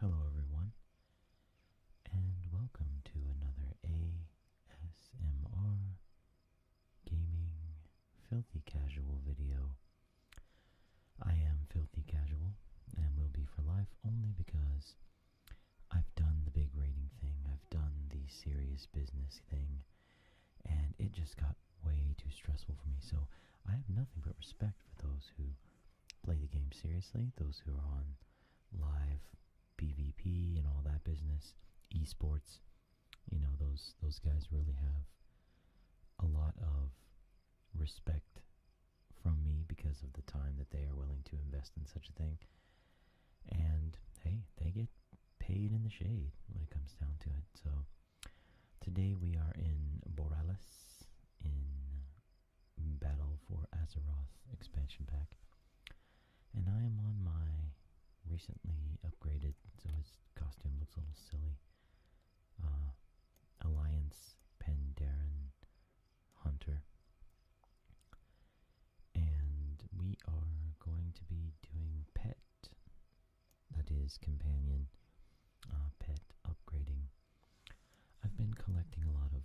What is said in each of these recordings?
Hello everyone, and welcome to another ASMR Gaming Filthy Casual video. I am Filthy Casual, and will be for life only because I've done the big rating thing, I've done the serious business thing, and it just got way too stressful for me. So I have nothing but respect for those who play the game seriously, those who are on live PvP and all that business, esports. You know, those those guys really have a lot of respect from me because of the time that they are willing to invest in such a thing. And hey, they get paid in the shade when it comes down to it. So Today we are in Borealis in Battle for Azeroth expansion pack. And I am on my recently upgraded, so his costume looks a little silly, uh, Alliance Pandaren Hunter. And we are going to be doing pet that is, companion uh, pet upgrading. I've been collecting a lot of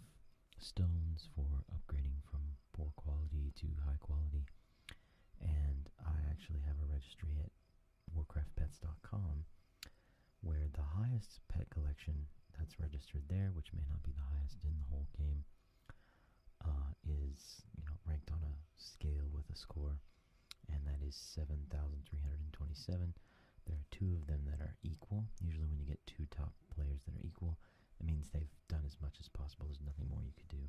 stones for upgrading from poor quality to high quality, and I actually have a registry at WarcraftPets.com where the highest pet collection that's registered there, which may not be the highest in the whole game, uh, is you know ranked on a scale with a score and that is 7,327. There are two of them that are equal. Usually when you get two top players that are equal, it means they've done as much as possible. There's nothing more you could do.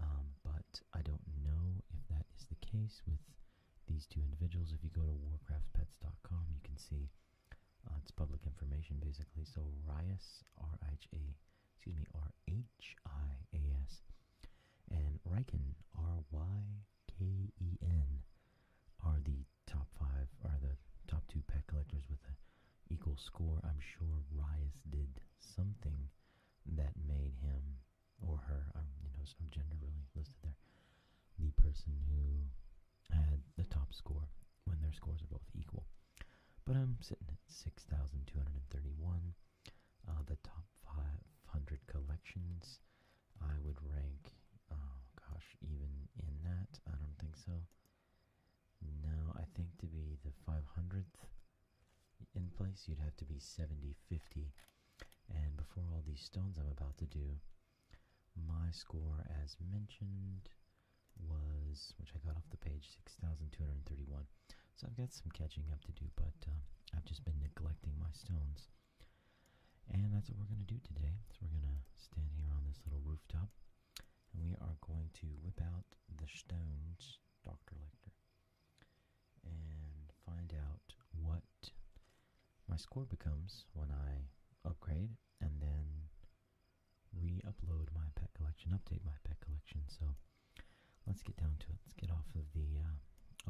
Um, but I don't know if that is the case with these two individuals. If you go to warcraftpets.com, you can see uh, it's public information basically. So Rias, R-I-H-A, excuse me, R H I A S, and Riken, R Y K E N, are the top five, are the top two pet collectors with an equal score. I'm sure Rias did something that made him or her, um, you know, some gender really listed there, the person who had the top score when their scores are both equal. But I'm sitting at 6,231. Uh, the top 500 collections, I would rank, oh gosh, even in that? I don't think so. No, I think to be the 500th in place, you'd have to be 70, 50. And before all these stones I'm about to do, my score as mentioned was, which I got off the page, 6,231. So I've got some catching up to do, but uh, I've just been neglecting my stones. And that's what we're going to do today. So we're going to stand here on this little rooftop, and we are going to whip out the stones, Dr. Lecter, and find out what my score becomes when I upgrade, and then re-upload my pet collection, update my pet collection. So Let's get down to it. Let's get off of the uh,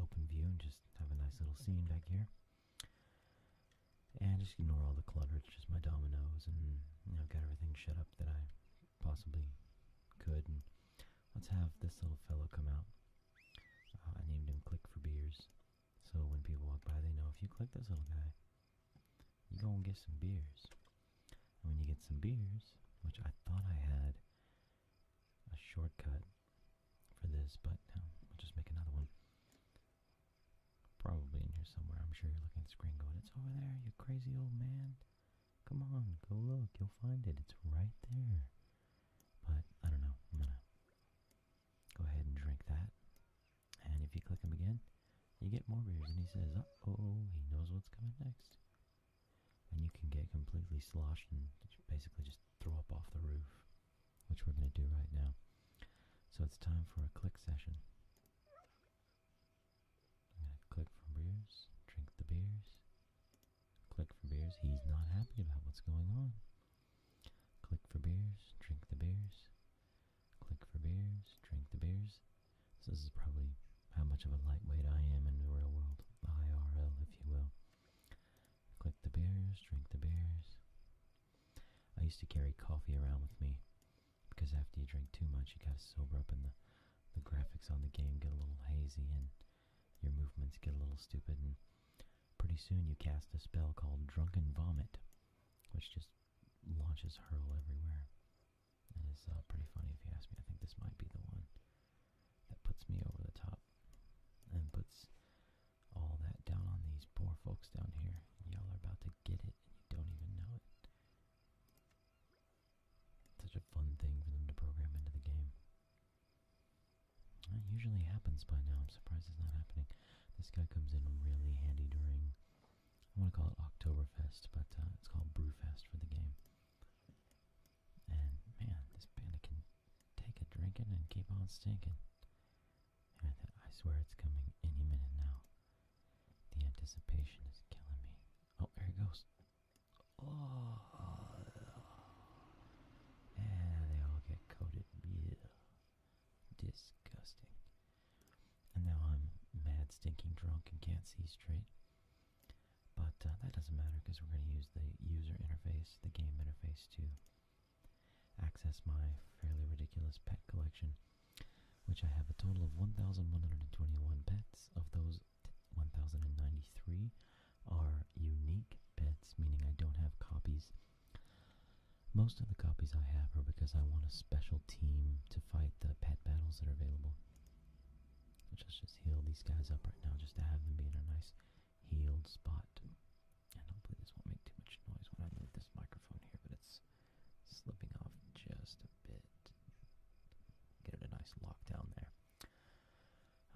open view and just have a nice little scene back here. And just ignore all the clutter. It's just my dominoes and you know, I've got everything shut up that I possibly could. And let's have this little fellow come out. Uh, I named him Click for Beers. So when people walk by, they know if you click this little guy, you go and get some beers when you get some beers, which I thought I had a shortcut for this, but no, will just make another one. Probably in here somewhere. I'm sure you're looking at the screen going, it's over there, you crazy old man. Come on, go look. You'll find it. It's right there. But I don't know. I'm gonna go ahead and drink that. And if you click them again, you get more beers. And he says, oh, he knows what's coming next and you can get completely sloshed and basically just throw up off the roof, which we're going to do right now. So it's time for a click session. click for beers, drink the beers, click for beers. He's not happy about what's going on. Click for beers, drink the beers, click for beers, drink the beers. So this is probably how much of a lightweight I am in the real world, IRL if you will. Click the beers, drink the beers. I used to carry coffee around with me because after you drink too much you gotta sober up and the, the graphics on the game get a little hazy and your movements get a little stupid and pretty soon you cast a spell called Drunken Vomit which just launches Hurl everywhere. It is uh, pretty funny if you ask me. I think this might be the one that puts me over the top and puts all that down on these poor folks down here. Y'all are about to get it and you don't even know it. such a fun thing for them to program into the game. That usually happens by now. I'm surprised it's not happening. This guy comes in really handy during, I want to call it Oktoberfest, but uh, it's called Brewfest for the game. And man, this panda can take a drinking and keep on stinking. I, swear it's coming any minute now. The anticipation is killing me. Oh, there it goes. Oh. and they all get coated. Yeah. Disgusting. And now I'm mad, stinking drunk and can't see straight. But uh, that doesn't matter because we're going to use the user interface, the game interface to access my fairly ridiculous pet collection, which I have a total of 1,121 pets. Of those, 1,093 are unique pets, meaning I don't have copies. Most of the copies I have are because I want a special team to fight the pet battles that are available let just heal these guys up right now just to have them be in a nice healed spot. And hopefully this won't make too much noise when I move this microphone here, but it's slipping off just a bit. Get it a nice lockdown there.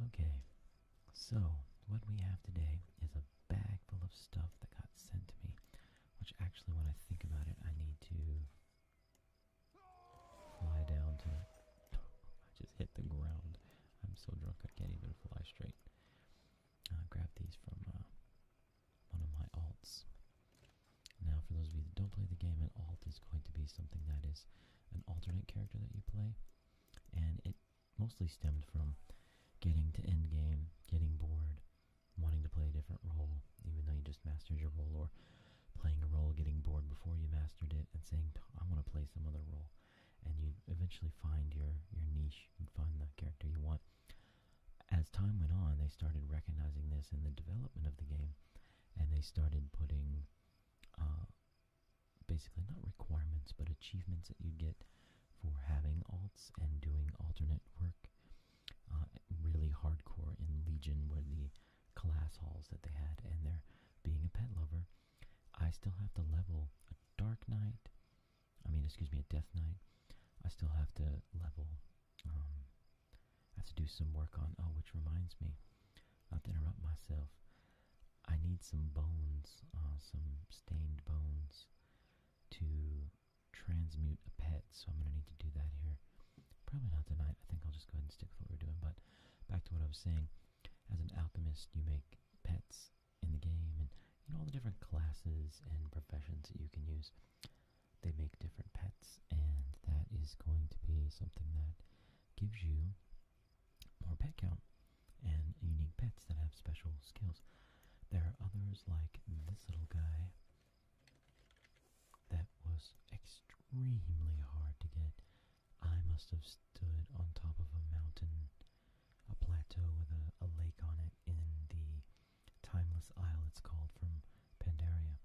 Okay, so what we have today is a bag full of stuff that got sent to me, which actually when I think about it, I need to Fly down I just hit the ground. I'm so drunk I can't even fly straight. I grabbed these from uh, one of my alts. Now, for those of you that don't play the game, an alt is going to be something that is an alternate character that you play, and it mostly stemmed from getting to end game, getting bored, wanting to play a different role, even though you just mastered your role, or playing a role, getting bored before you mastered it, and saying, I want to play some other role. And you eventually find your, your niche, you find the character you want. As time went on, they started recognizing this in the development of the game, and they started putting uh, basically not requirements, but achievements that you get for having alts and doing alternate work. Uh, really hardcore in Legion, where the class halls that they had and there being a pet lover i still have to level a dark night. i mean excuse me a death night. i still have to level um, i have to do some work on oh which reminds me not to interrupt myself i need some bones uh, some stained bones to transmute a pet so i'm going to need to do that here Probably not tonight. I think I'll just go ahead and stick with what we're doing. But back to what I was saying. As an alchemist, you make pets in the game, and you know all the different classes and professions that you can use. They make different pets, and that is going to be something that gives you more pet count and unique pets that have special skills. There are others like this little guy that was extremely hard to get. I must have stood on top of a mountain, a plateau with a, lake on it in the Timeless Isle, it's called, from Pandaria.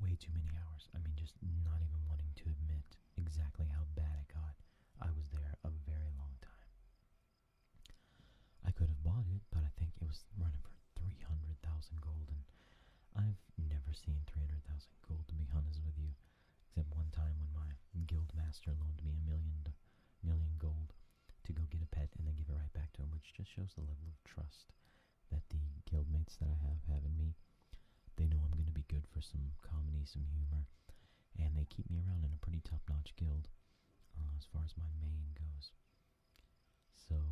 Way too many hours. I mean, just not even wanting to admit exactly how bad it got. I was there a very long time. I could have bought it, but I think it was running for 300,000 gold, and I've never seen 300,000 gold, to be honest with you, except one time when my guild master loaned me a million, million gold to go get a pet and then give it right back to him, which just shows the level of trust that the guildmates that I have have in me. They know I'm going to be good for some comedy, some humor, and they keep me around in a pretty top-notch guild uh, as far as my main goes. So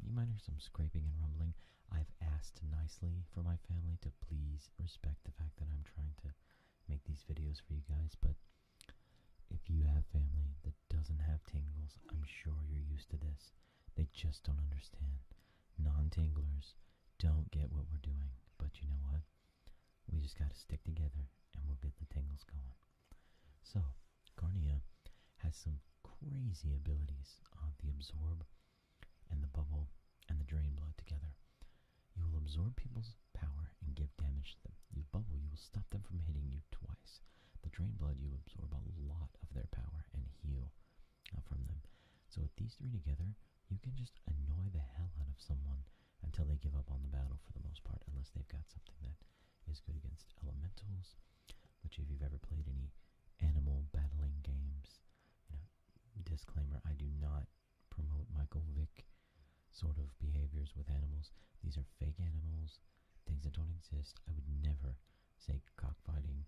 you might hear some scraping and rumbling. I've asked nicely for my family to please respect the fact that I'm trying to make these videos for you guys, but if you have family that doesn't have tingles, I'm sure you're used to this. They just don't understand. Non-tinglers don't get what we're doing, but you know what? We just gotta stick together and we'll get the tingles going. So, Garnia has some crazy abilities on uh, the absorb and the bubble and the drain blood together. You will absorb people's power and give damage to them. You bubble, you will stop them from hitting you twice. The drain blood, you absorb a lot of their power and heal uh, from them. So with these three together, you can just annoy the hell out of someone until they give up on the battle for the most part, unless they've got something that is good against elementals which if you've ever played any animal battling games, disclaimer, I do not promote Michael Vick sort of behaviors with animals. These are fake animals, things that don't exist. I would never say cockfighting,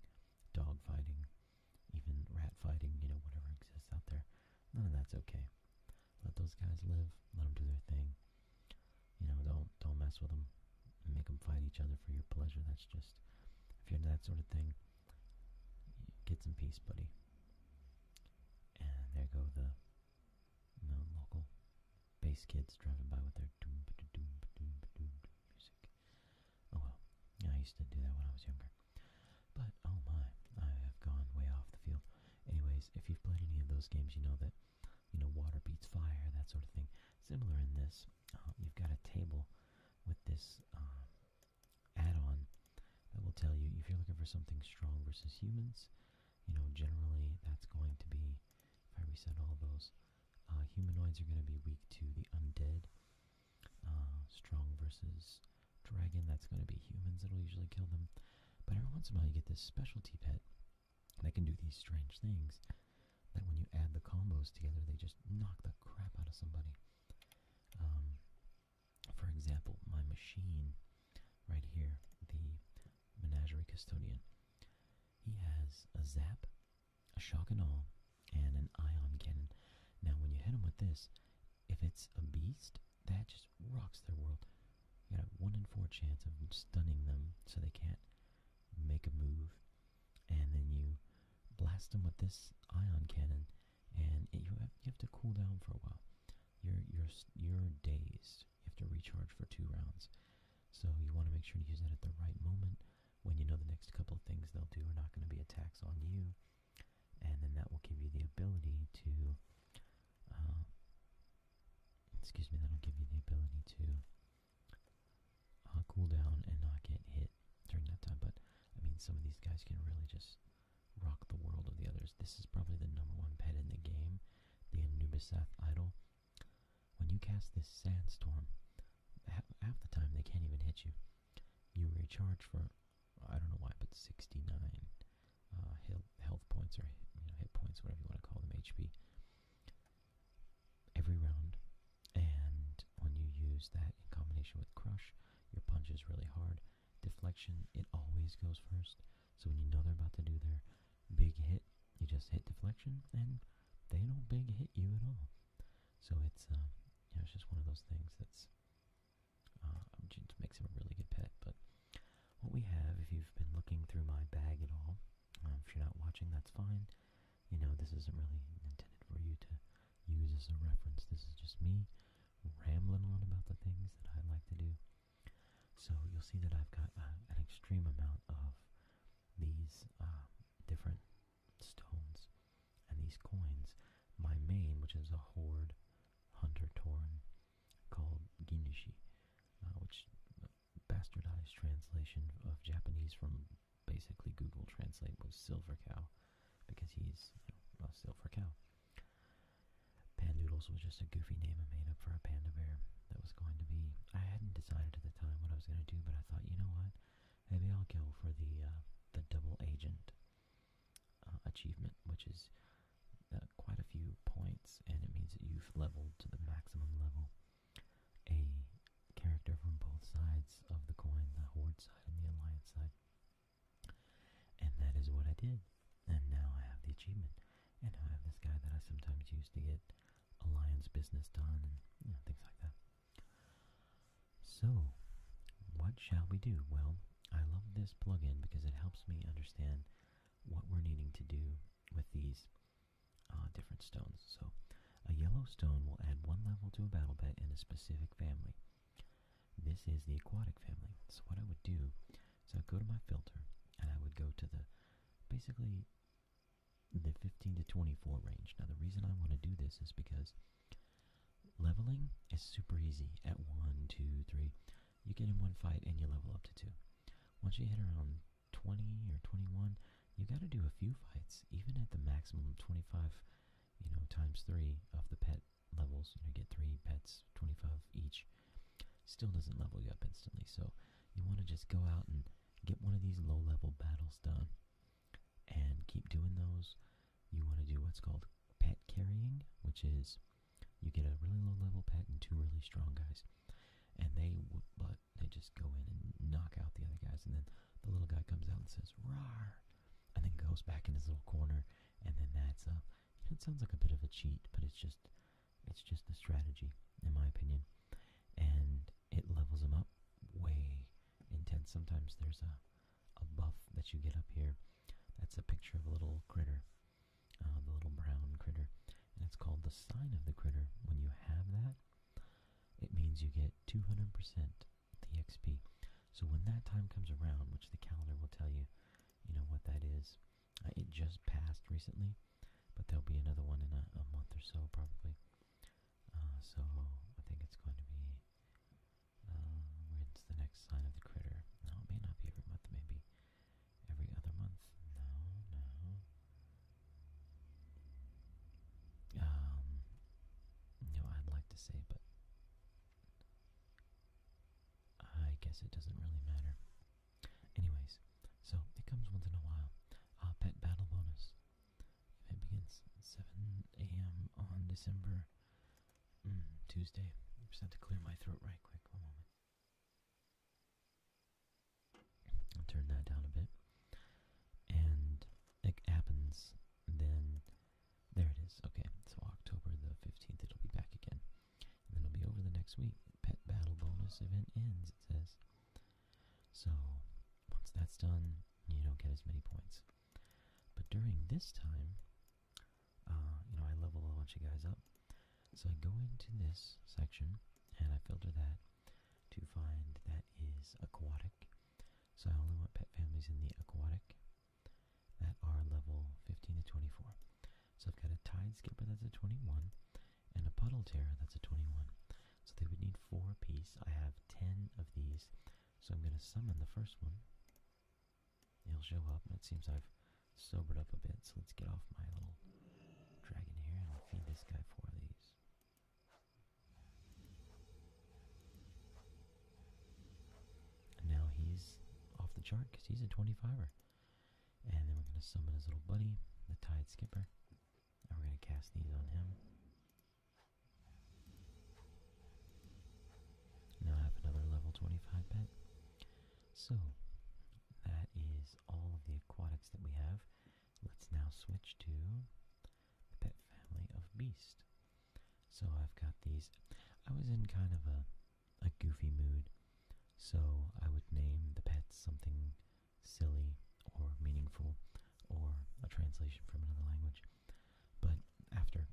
dogfighting, even rat fighting, you know, whatever exists out there. None of that's okay. Let those guys live. Let them do their thing. You know, don't don't mess with them and make them fight each other for your pleasure. That's just, if you're into that sort of thing, get some peace, buddy. And there go the you know, local bass kids driving by with their doom ba doom ba doom ba doom music. Oh well, yeah, I used to do that when I was younger. But oh my, I have gone way off the field. Anyways, if you've played any of those games, you know that you know water beats fire, that sort of thing. Similar in this, uh, you've got a table with this um, add-on that will tell you if you're looking for something strong versus humans. You know, generally that's going to be, if I reset all those, uh, humanoids are going to be weak to the undead. Uh, strong versus dragon, that's going to be humans that'll usually kill them. But every once in a while you get this specialty pet that can do these strange things that when you add the combos together, they just knock the crap out of somebody. Um, for example, my machine right here, the Menagerie Custodian, he has a Zap, a Shock and All, and an Ion Cannon. Now, when you hit him with this, if it's a beast, that just rocks their world. You got a 1 in 4 chance of stunning them so they can't make a move and then you blast them with this ion cannon, and you have to cool down for a while. You're you're you're dazed. You have to recharge for two rounds, so you want to make sure to use that at the right moment when you know the next couple of things they'll do are not going to be attacks on you, and then that will give you the ability to. Uh, excuse me. That'll give you the ability to cool down and not get hit during that time. But I mean, some of these guys can really just rock the world of the others. This is probably the number one pet in the game, the Anubisath Idol. When you cast this Sandstorm, half, the time they can't even hit you. You recharge for I don't know why, but 69 uh, health points or you hit points, whatever you want to call them, HP every round. And when you use that in combination with crush, your punch is really hard. Deflection, it always goes first. So when you know they're about to do their big hit, you just hit deflection, and they don't big hit you at all. So it's um, you know, it's just one of those things that's uh, makes him a really good pet. But what we have, if you've been looking through my bag at all, um, if you're not watching, that's fine. You know, this isn't really intended for you to use as a reference. This is just me rambling on about the things that I like to do. So you'll see that I've got uh, an extreme amount of these um, different stones and these coins. My main, which is a horde hunter torn called Ginishi, uh, which bastardized translation of Japanese from basically Google Translate was Silver Cow, because he's you know, a silver cow. Pandoodles was just a goofy name I made up for a panda bear that was going to be. I hadn't decided at the time what I was going to do, but I thought, you know what, maybe I'll go for the uh, the double agent uh, achievement, which is uh, quite a few points, and it means that you've leveled to the maximum level a character from both sides of the coin, the Horde side and the Alliance side. And that is what I did. And now I have the achievement. And I have this guy that I sometimes use to get Alliance business done and things like that. So, what shall we do? Well, I love this plugin because it helps me understand what we're needing to do with these Ah, different stones. So a yellow stone will add one level to a battle pet in a specific family. This is the aquatic family. So what I would do is I'd go to my filter and I would go to the basically the 15 to 24 range. Now the reason I want to do this is because leveling is super easy at one, two, three, You get in one fight and you level up to 2. Once you hit around 20 or 21, you got to do a few fights, even at the maximum 25, you know, times three of the pet levels. You know, get three pets, 25 each. Still doesn't level you up instantly. So you want to just go out and get one of these low-level battles done, and keep doing those. You want to do what's called pet carrying, which is you get a really low level pet and two really strong guys, and they but they just go in and knock out the other guys. And then the little guy comes out and says, "Rar," and then goes back in his little corner. And then that's uh, you know, it sounds like a bit of a cheat, but it's just, it's just a strategy, in my opinion. And it levels them up way intense. Sometimes there's a, a buff that you get up here. That's a picture of a little critter, uh, the little brown critter, and it's called the sign of the critter. When you have that, it means you get 200% the XP. So when that time comes around, which the calendar will tell you, you know what that is. Uh, it just passed recently, but there'll be another one in a, month or so probably. Uh, so I think it's going to be. Uh, the next sign of the critter? No, it may not be every month. Maybe every other month. No, no. Um, you I'd like to say, but I guess it doesn't really matter. Anyways, so it comes once in a while. A uh, pet battle bonus. It begins 7 a.m. on December mm, Tuesday. I just have to clear my throat right quick. One moment. I'll turn that down a bit. And it happens, then there it is. Okay, so October the 15th, it'll be back again. And then it'll be over the next week. Pet battle bonus event ends, it says. So once that's done, you don't get as many points. But during this time, uh, you know, I level a bunch of guys up. So I go into this section and I filter that to find that is aquatic. So I only want pet families in the aquatic that are level 15 to 24. So I've got a tide skipper that's a 21 and a puddle terror that's a 21. So they would need four apiece. I have 10 of these. So I'm going to summon the first one. it will show up. It seems I've sobered up a bit. So let's get off my little dragon here and I'll feed this guy four of these now he's off the chart because he's a 25er. And then we're going to summon his little buddy, the Tide Skipper. And we're going to cast these on him. Now I have another level 25 pet. So, that is all of the aquatics that we have. Let's now switch to the pet family of Beast. So I've got these. I was in kind of a, a goofy mood, so I would name the pets something silly or meaningful or a translation from another language. But after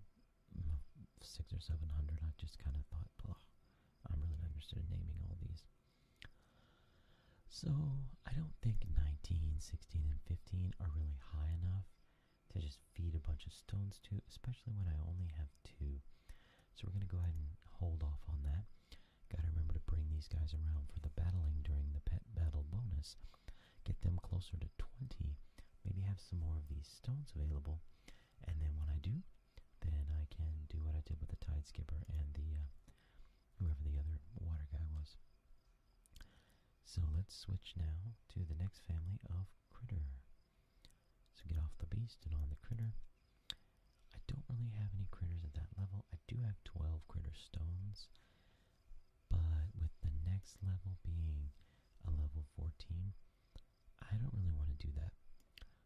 six or seven hundred, I just kind of thought, I'm really not interested naming all these. So I don't think 19, 16, and 15 are really high enough to just feed a bunch of stones to, especially when I only have two. So we're going to go ahead and hold off on that. Got to remember to bring these guys around for the battling during the pet battle bonus. Get them closer to 20. Maybe have some more of these stones available. And then when I do, then I can do what I did with the Tide Skipper and the, uh, whoever the other water guy was. So let's switch now to the next family of critter. So get off the beast and on the critter. I don't really have any critters at that level. I do have 12 critter stones, but with the next level being a level 14, I don't really want to do that.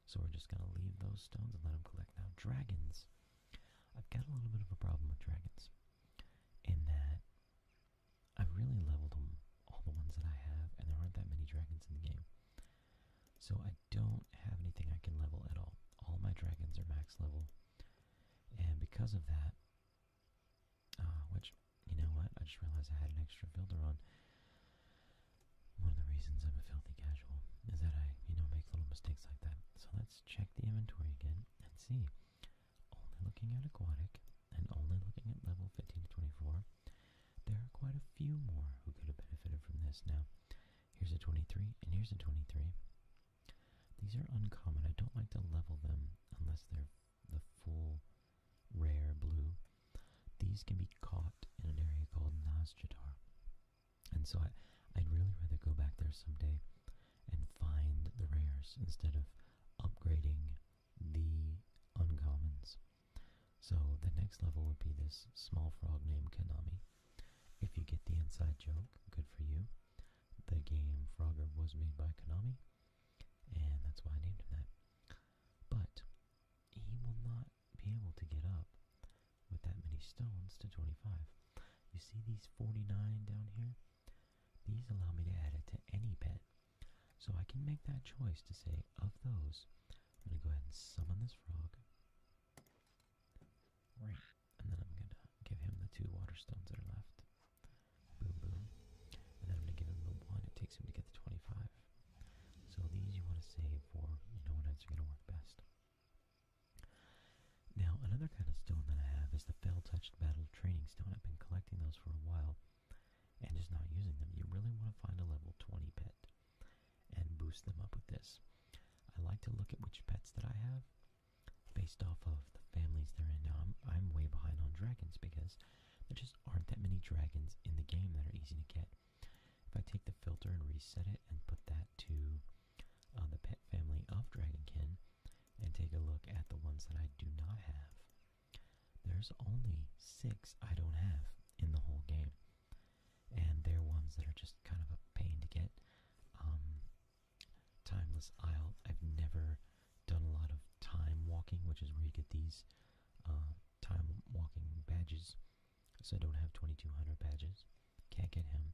So we're just going to leave those stones and let them collect. Now, dragons. I've got a little bit of a problem with dragons in that I've really leveled them, all the ones that I have, and there aren't that many dragons in the game. So I don't have anything I can level at all. All my dragons are max level. And because of that, uh, which, you know what, I just realized I had an extra builder on. One of the reasons I'm a filthy casual is that I, you know, make little mistakes like that. So let's check the inventory again and see. Only looking at Aquatic, and only looking at level 15 to 24, there are quite a few more who could have benefited from this. Now, here's a 23, and here's a 23. These are uncommon. I don't like to level them unless they're the full rare blue. These can be caught in an area called Nazjatar. And so I'd really rather go back there someday and find the rares instead of upgrading the uncommons. So the next level would be this small frog named Konami. If you get the inside joke, good for you. The game Frogger was made by Konami, and that's why I named him that. But he will not be able to get up with that many stones to 25. You see these 49 down here? These allow me to add it to any pet. So I can make that choice to say, of those, I'm going to go ahead and summon this frog. Right. And then I'm going to give him the two water stones that are left. Boom, boom. And then I'm going to give him the one it takes him to get the 25. So these you want to save for, you know, when it's going to work best. Now, another kind of stone that I have is the fell Battle Training Stone. I've been collecting those for a while and just not using them. You really want to find a level 20 pet and boost them up with this. I like to look at which pets that I have based off of the families they're in. Now, I'm, I'm way behind on dragons because there just aren't that many dragons in the game that are easy to get. If I take the filter and reset it and put that to the pet family of Dragonkin and take a look at the ones that I do not have. There's only six I don't have in the whole game, and they're ones that are just kind of a pain to get. Um, timeless Isle, I've never done a lot of time walking, which is where you get these uh, time walking badges. So I don't have 2200 badges. Can't get him.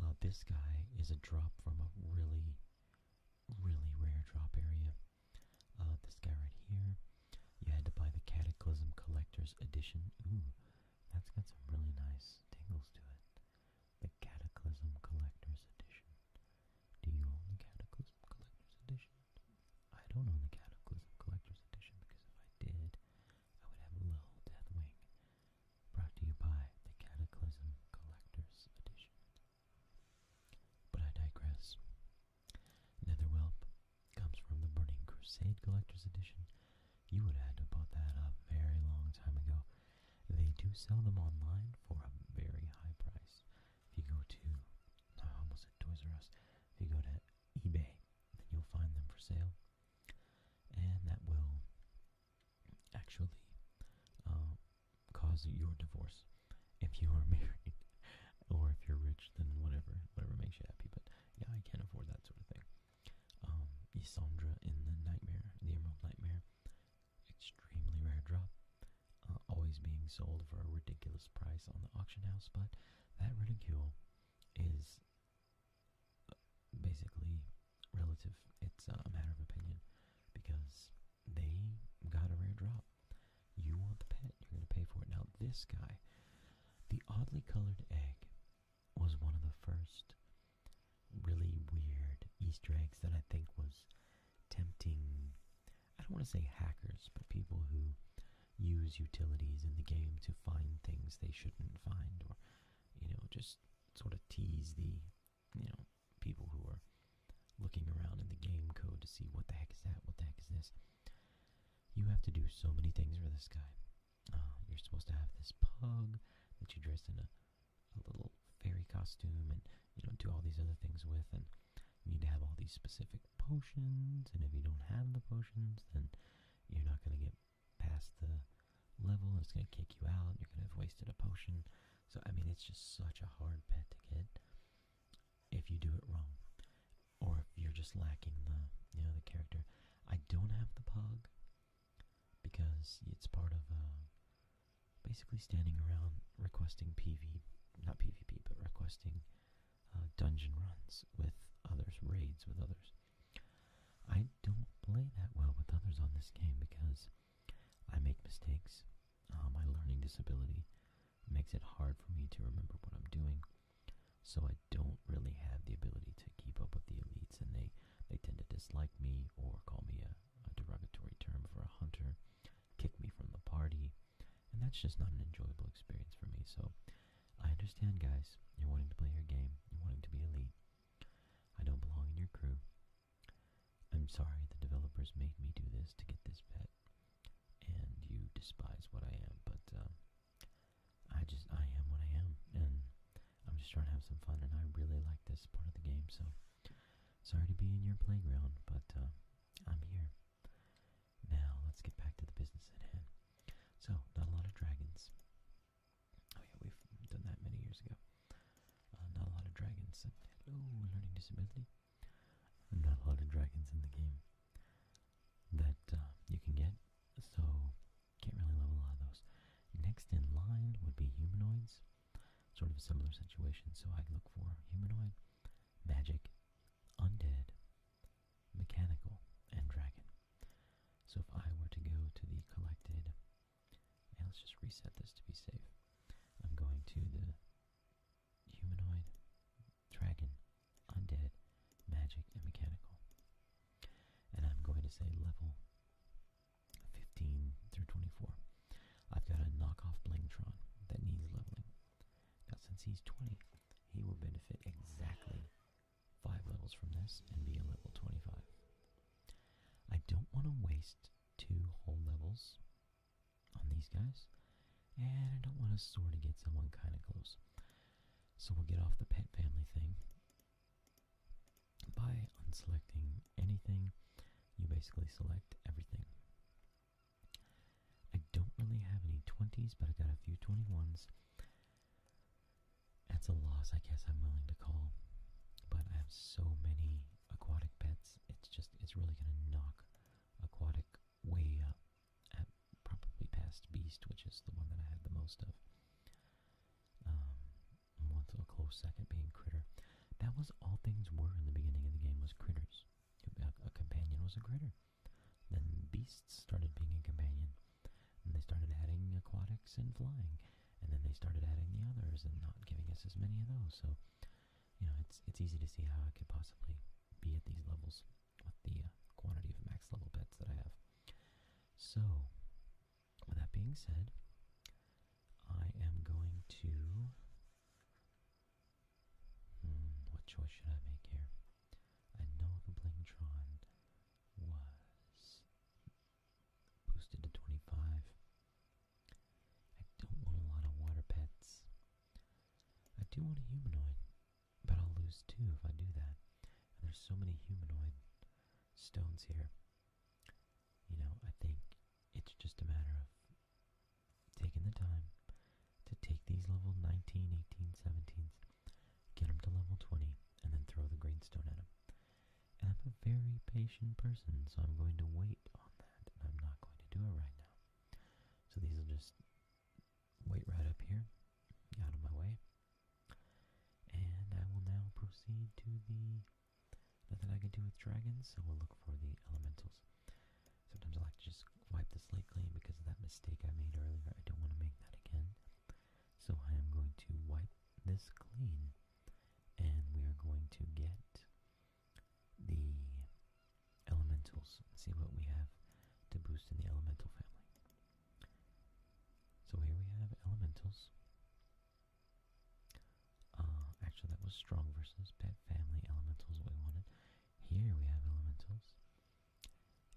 Uh, this guy is a drop from a really, really rare drop area. Uh, this guy right here, you had to buy the Cataclysm Collector's Edition. Ooh, that's got some really nice tangles to it. The Cataclysm Collector's Edition. Do you own the Cataclysm Collector's Edition? I don't own the Cataclysm Collector's Edition because if I did, I would have a little Deathwing brought to you by the Cataclysm Collector's Edition. But I digress. Netherwhelp comes from the Burning Crusade Collector's Edition. You would have had to bought that a very long time ago. They do sell them online for a very high price. If you go to, I almost at Toys R Us, if you go to eBay, then you'll find them for sale. And that will actually um, cause your divorce. If you are married or if you're rich, then whatever, whatever makes you happy. But yeah, I can't afford that sort of thing. Um, Isandra in the Nightmare, the Emerald Nightmare, extremely rare drop. Uh, always being sold for a ridiculous price on the auction house, but that ridicule is uh, basically relative. It's a matter of opinion because they got a rare drop. You want the pet, you're going to pay for it. Now, this guy, the oddly colored egg, was one of the first really weird Easter eggs that I think was tempting. I don't want to say hackers, but people who use utilities in the game to find things they shouldn't find or, you know, just sort of tease the you know, people who are looking around in the game code to see what the heck is that, what the heck is this. You have to do so many things for this guy. Uh, you're supposed to have this pug that you dress in a, a little fairy costume and, you know, do all these other things with. And you need to have all these specific potions. And if you don't have the potions, then you're not going to get past the level it's going to kick you out. You're going to have wasted a potion. So, I mean, it's just such a hard pet to get if you do it wrong or if you're just lacking the, you know, the character. I don't have the pug because it's part of uh, basically standing around requesting PV, not PvP, but requesting uh, dungeon runs with others, raids with others. I don't play that well with others on this game because I make mistakes. Um, my learning disability makes it hard for me to remember what I'm doing, so I don't really have the ability to keep up with the elites, and they, they tend to dislike me or call me a derogatory term for a hunter, kick me from the party, and that's just not an enjoyable experience for me. So I understand, guys, you're wanting to play your game, you're wanting to be elite. I don't belong in your crew. I'm sorry the developers made me do this to get this pet, and you despise what I am, but um, I just, I am what I am, and I'm just trying to have some fun, and I really like this part of the game, so sorry to be in your playground, but uh, I'm here. Now, let's get back to the business at hand. So, not a lot of dragons. Oh yeah, we've done that many years ago. Uh, not a lot of dragons. And, learning disability. Not a lot of dragons in the game that uh, you can get, so can't really level a lot of those. Next in line would be humanoids. Sort of a similar situation, so i look for humanoid, magic, undead, mechanical, and dragon. So if I were to go to the collected let's just reset this to be safe. I'm going to the humanoid, dragon, undead, magic, and mechanical. And I'm going to say level 15 through 24. I've got a knockoff Blingtron that needs leveling. Now since he's 20, he will benefit exactly 5 levels from this and be a level 25. I don't want to waste two whole levels on these guys. And I don't want to sort of get someone kind of close. So we'll get off the pet family thing by unselecting anything. You basically select everything. I don't really have any 20s, but I got a few 21s. That's a loss I guess I'm willing to call. But I have so many aquatic pets, it's just, it's really going to knock aquatic way up probably past beast, which is the one that I had the most of. Um, one to a close second being critter. That was all things were in the beginning of the game was critters. a companion was a critter. Then beasts started being a companion. And they started adding aquatics and flying and then they started adding the others and not giving us as many of those. So, you know, it's it's easy to see how I could possibly be at these levels with the uh, quantity of max level pets that I have. So, with that being said, I am going to. Hmm, what choice should I make here? I know the Blingtron was Boosted to 25. I don't want a lot of water pets. I do want a humanoid, but I'll lose two if I do that. there's so many humanoid stones here. You know, I think it's just a matter of taking the time to take these level 19, 18, 17s, get them to level 20, and then throw the green stone at them. I'm a very patient person, so I'm going to wait on that, and I'm not going to do it right now. So these will just wait right up here, out of my way. And I will now proceed to the... Nothing I can do with dragons, so we'll look for the elementals. Sometimes I like to just wipe the slate clean because of that mistake I made earlier. I don't want to make that again. So I am going to wipe this clean and we are going to get the elementals see what we have to boost in the elemental family. So here we have elementals. Uh, actually, that was strong versus pet family elementals, we wanted. Here we have elementals,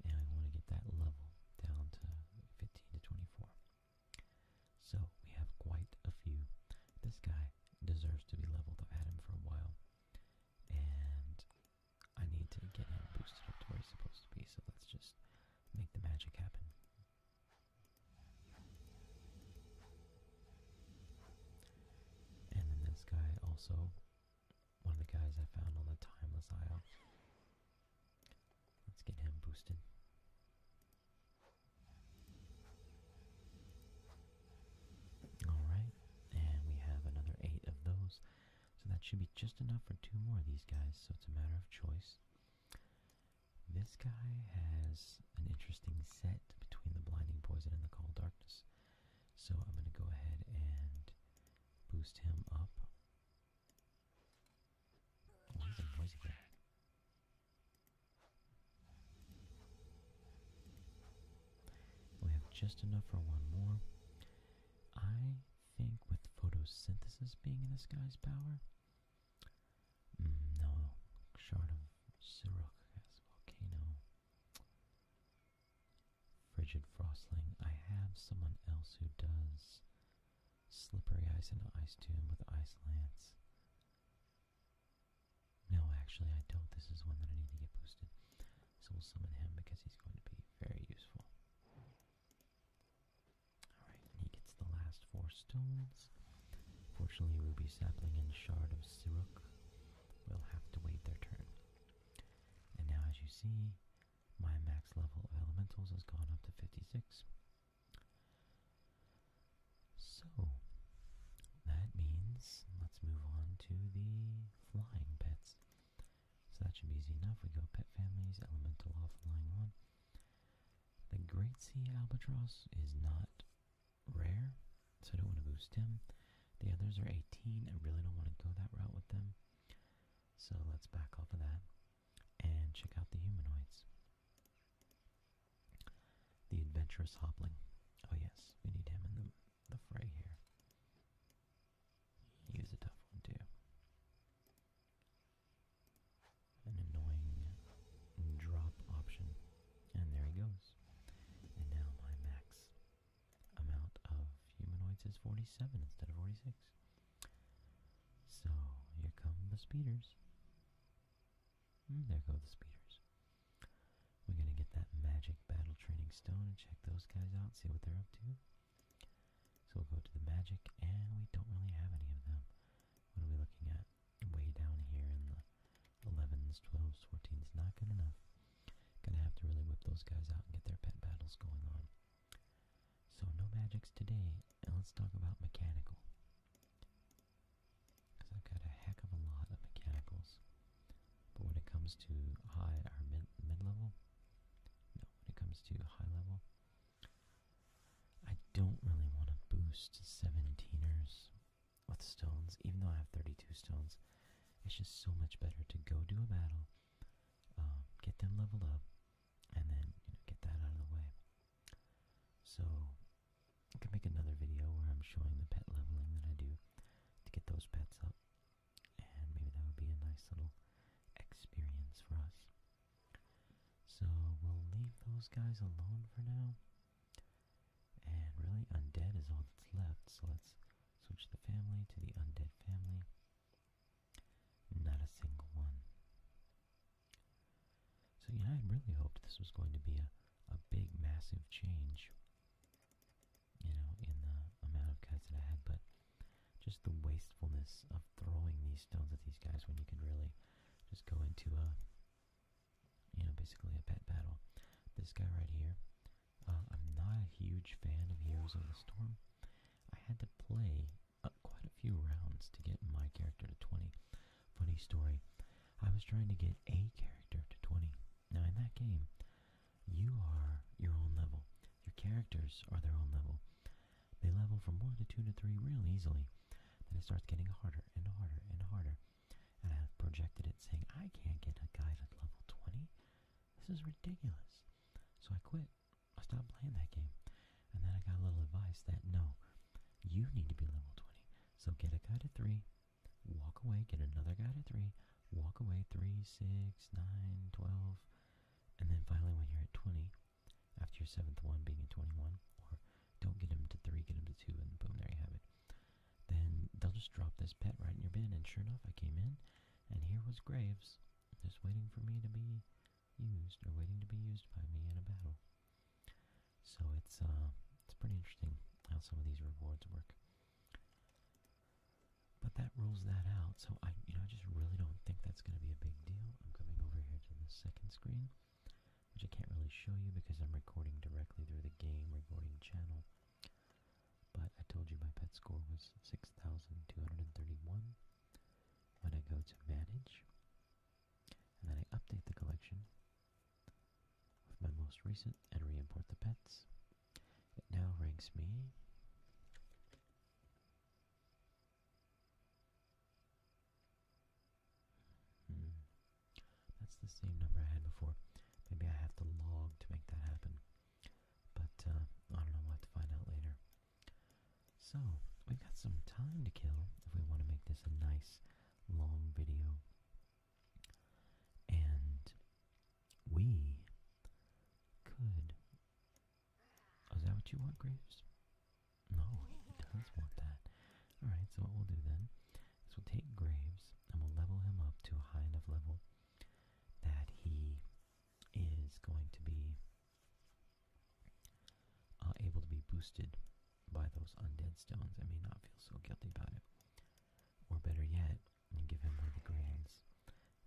and I want to get that level down to 15 to 24. So we have quite a few. This guy deserves to be leveled. I've him for a while. And I need to get him boosted up to where he's supposed to be, so let's just make the magic happen. And then this guy also, one of the guys I found on the Timeless Isle. Let's get him boosted. Alright, and we have another eight of those. So that should be just enough for two more of these guys, so it's a matter of choice. This guy has an interesting set between the Blinding Poison and the cold Darkness. So I'm going to go ahead and boost him up. Oh, he's a noisy we have just enough for one more. I think with photosynthesis being in this guy's power, mm, no, short of Syracuse volcano, frigid frostling. I have someone else who does slippery ice into ice tomb with ice lance. No, actually I don't. This is one that I need to get boosted. So we'll summon him because he's going to be very useful. Alright, he gets the last four stones. Fortunately, Ruby Sapling and Shard of Siruk will have to wait their turn. And now as you see, my max level of elementals has gone up to 56, so, that means let's move on to the flying pets. So that should be easy enough. We go pet families, elemental off, the line one. The great sea albatross is not rare, so I don't want to boost him. The others are 18. I really don't want to go that route with them. So let's back off of that and check out the humanoids. The adventurous hobbling. Oh yes, we need him in the, the fray here. He was a tough one too. An annoying drop option. And there he goes. And now my max amount of humanoids is 47 instead of 46. So, here come the speeders. Hmm, there go the speeders. We're gonna get that magic battle training stone and check those guys out, see what they're up to. So we'll go to the magic, and we don't really have any of them. What are we looking at? Way down here in the 11s, 12s, 14s, not good enough. Gonna have to really whip those guys out and get their pet battles going on. So no magics today, and let's talk about mechanical because I've got a heck of a lot of mechanicals. But when it comes to high or mid, level, no, when it comes to high level, I don't really want to boost 17ers with stones, even though I have 32 stones. It's just so much better to go do a battle, um, get them leveled up, and then you get that out of the way. So I can make another video where I'm showing the pet leveling that I do to get those pets up. And maybe that would be a nice little experience for us. So we'll leave those guys alone for now. And really, undead is all that's left, so let's switch the family to the undead family. Not a single one. So yeah, I really hoped this was going to be a, a big, massive change, you know, in the amount of cuts that I had, but just the wastefulness of throwing these stones at these guys when you could really just go into a, you know, basically a pet battle. This guy right here, uh, I'm not a huge fan of Heroes of the Storm. I had to play uh, quite a few rounds to get my character to 20. Funny story. I was trying to get a character to 20. Now, in that game, you are your own level. Your characters are their own level. They level from 1 to 2 to 3 real easily. Then it starts getting harder and harder and harder. And I have projected it saying, I can't get a guy to level 20. This is ridiculous. So I quit. I stopped playing that game. And then I got a little advice that no, you need to be level 20. So get a guy to 3, walk away, get another guy to 3, walk away three, six, nine, twelve, And then finally, when you're at 20, after your seventh one being at 21, or don't get him to 3, get him to 2, and boom, there you have it. Then they'll just drop this pet right in your bin. And sure enough, I came in, and here was Graves, just waiting for me to be used, or waiting to be used by me in a battle. So it's uh, it's pretty interesting how some of these rewards work. But that rules that out. So I, you know, I just really don't think that's going to be a big deal. I'm coming over here to the second screen, which I can't really show you because I'm recording directly through the game recording channel. But I told you my pet score was 6,231. When I go to manage, and then I update the collection with my most recent and re-import the pets. It now ranks me hmm. That's the same number I had before. Maybe I have to log to make that happen. But uh, I don't know, we have to find out later. So, we've got some time to kill if we want to make this a nice long video. And we could. Oh, is that what you want, Graves? No, he does want that. Alright, so what we'll do then is we'll take Graves and we'll level him up to a high enough level that he is going to be uh, able to be boosted by those undead stones, I may not feel so guilty about it. Or better yet, and give him one of the grains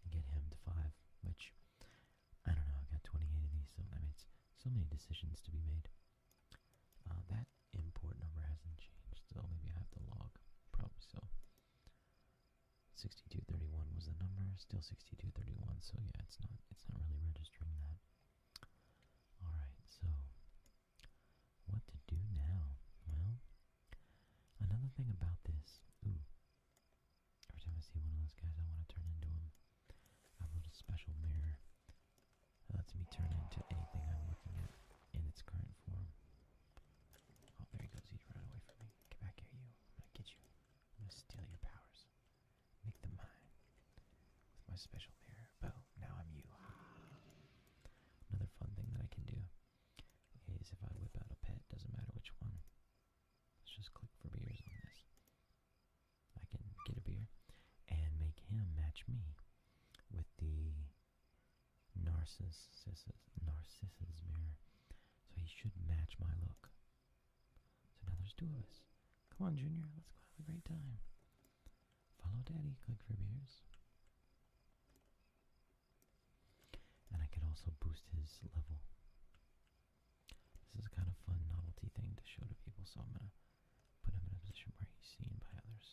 and get him to five, which, I don't know, i got 28 of these, so I mean, it's so many decisions to be made. Uh, that import number hasn't changed, so maybe I have to log, probably so. 6231 was the number, still 6231, so yeah, it's not, it's not really registering that. Alright, so what to do now? Well, another thing about this, ooh, every time I see one of those guys, I want to turn into him. I have a little special mirror that lets me turn into anything I'm looking at in its current form. Oh, there he goes. He's running away from me. Get back here, you. I'm gonna get you. I'm gonna steal your powers. Make them mine with my special mirror. Well, now I'm you. Another fun thing that I can do is if I whip out a pet, doesn't matter which one. Let's just click for beers on this. I can get a beer and make him match me with the Narcissus Narcissus mirror. So he should match my look. So now there's two of us. Come on, Junior, let's go have a great time. Follow Daddy, click for beers. And I can also boost his level. This is a kind of fun novelty thing to show to people, so I'm gonna put him in a position where he's seen by others.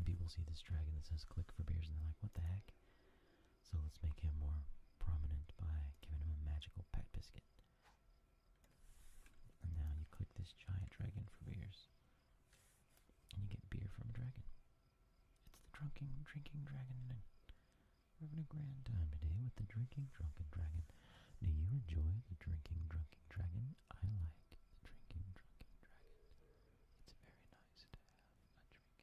And people see this dragon that says click for beers and they're like, what the heck? So let's make him more prominent by giving him a magical pet biscuit. And now you click this giant dragon for beers. And you get beer from a dragon. It's the drunken drinking dragon. We're having a grand time today with the drinking drunken dragon. Do you enjoy the drinking drunken dragon? I like the drinking drunken dragon. It's very nice to have a drinking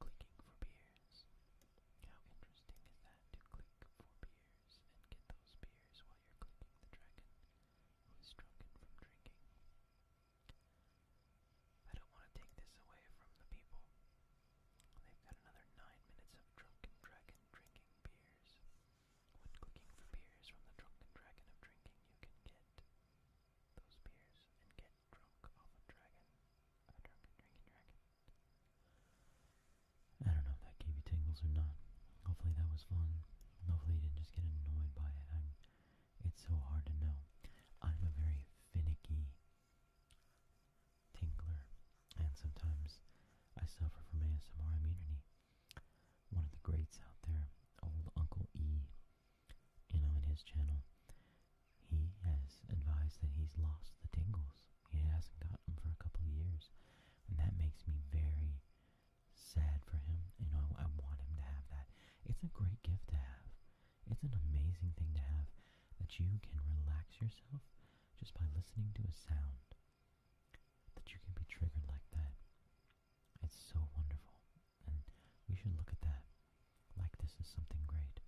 clicking for beers. How interesting is that to click for beers and get those beers while you're clicking the dragon who is drunken from drinking? I don't want to take this away from the people. They've got another nine minutes of drunken dragon drinking beers. When clicking for beers from the drunken dragon of drinking, you can get those beers and get drunk off a dragon, a drunken drinking dragon. I don't know if that gave you tingles or not. Hopefully that was fun. Hopefully you didn't just get annoyed by it. I'm, it's so hard to know. I'm a very finicky tingler, and sometimes I suffer from ASMR immunity. One of the greats out there, old Uncle E, you know, in his channel, he has advised that he's lost the tingles. He hasn't got them for a couple of years. And that makes me very sad for him. You know, I want him to have that. It's a great gift to have. It's an amazing thing to have that you can relax yourself just by listening to a sound. That you can be triggered like that. It's so wonderful. And we should look at that like this is something great.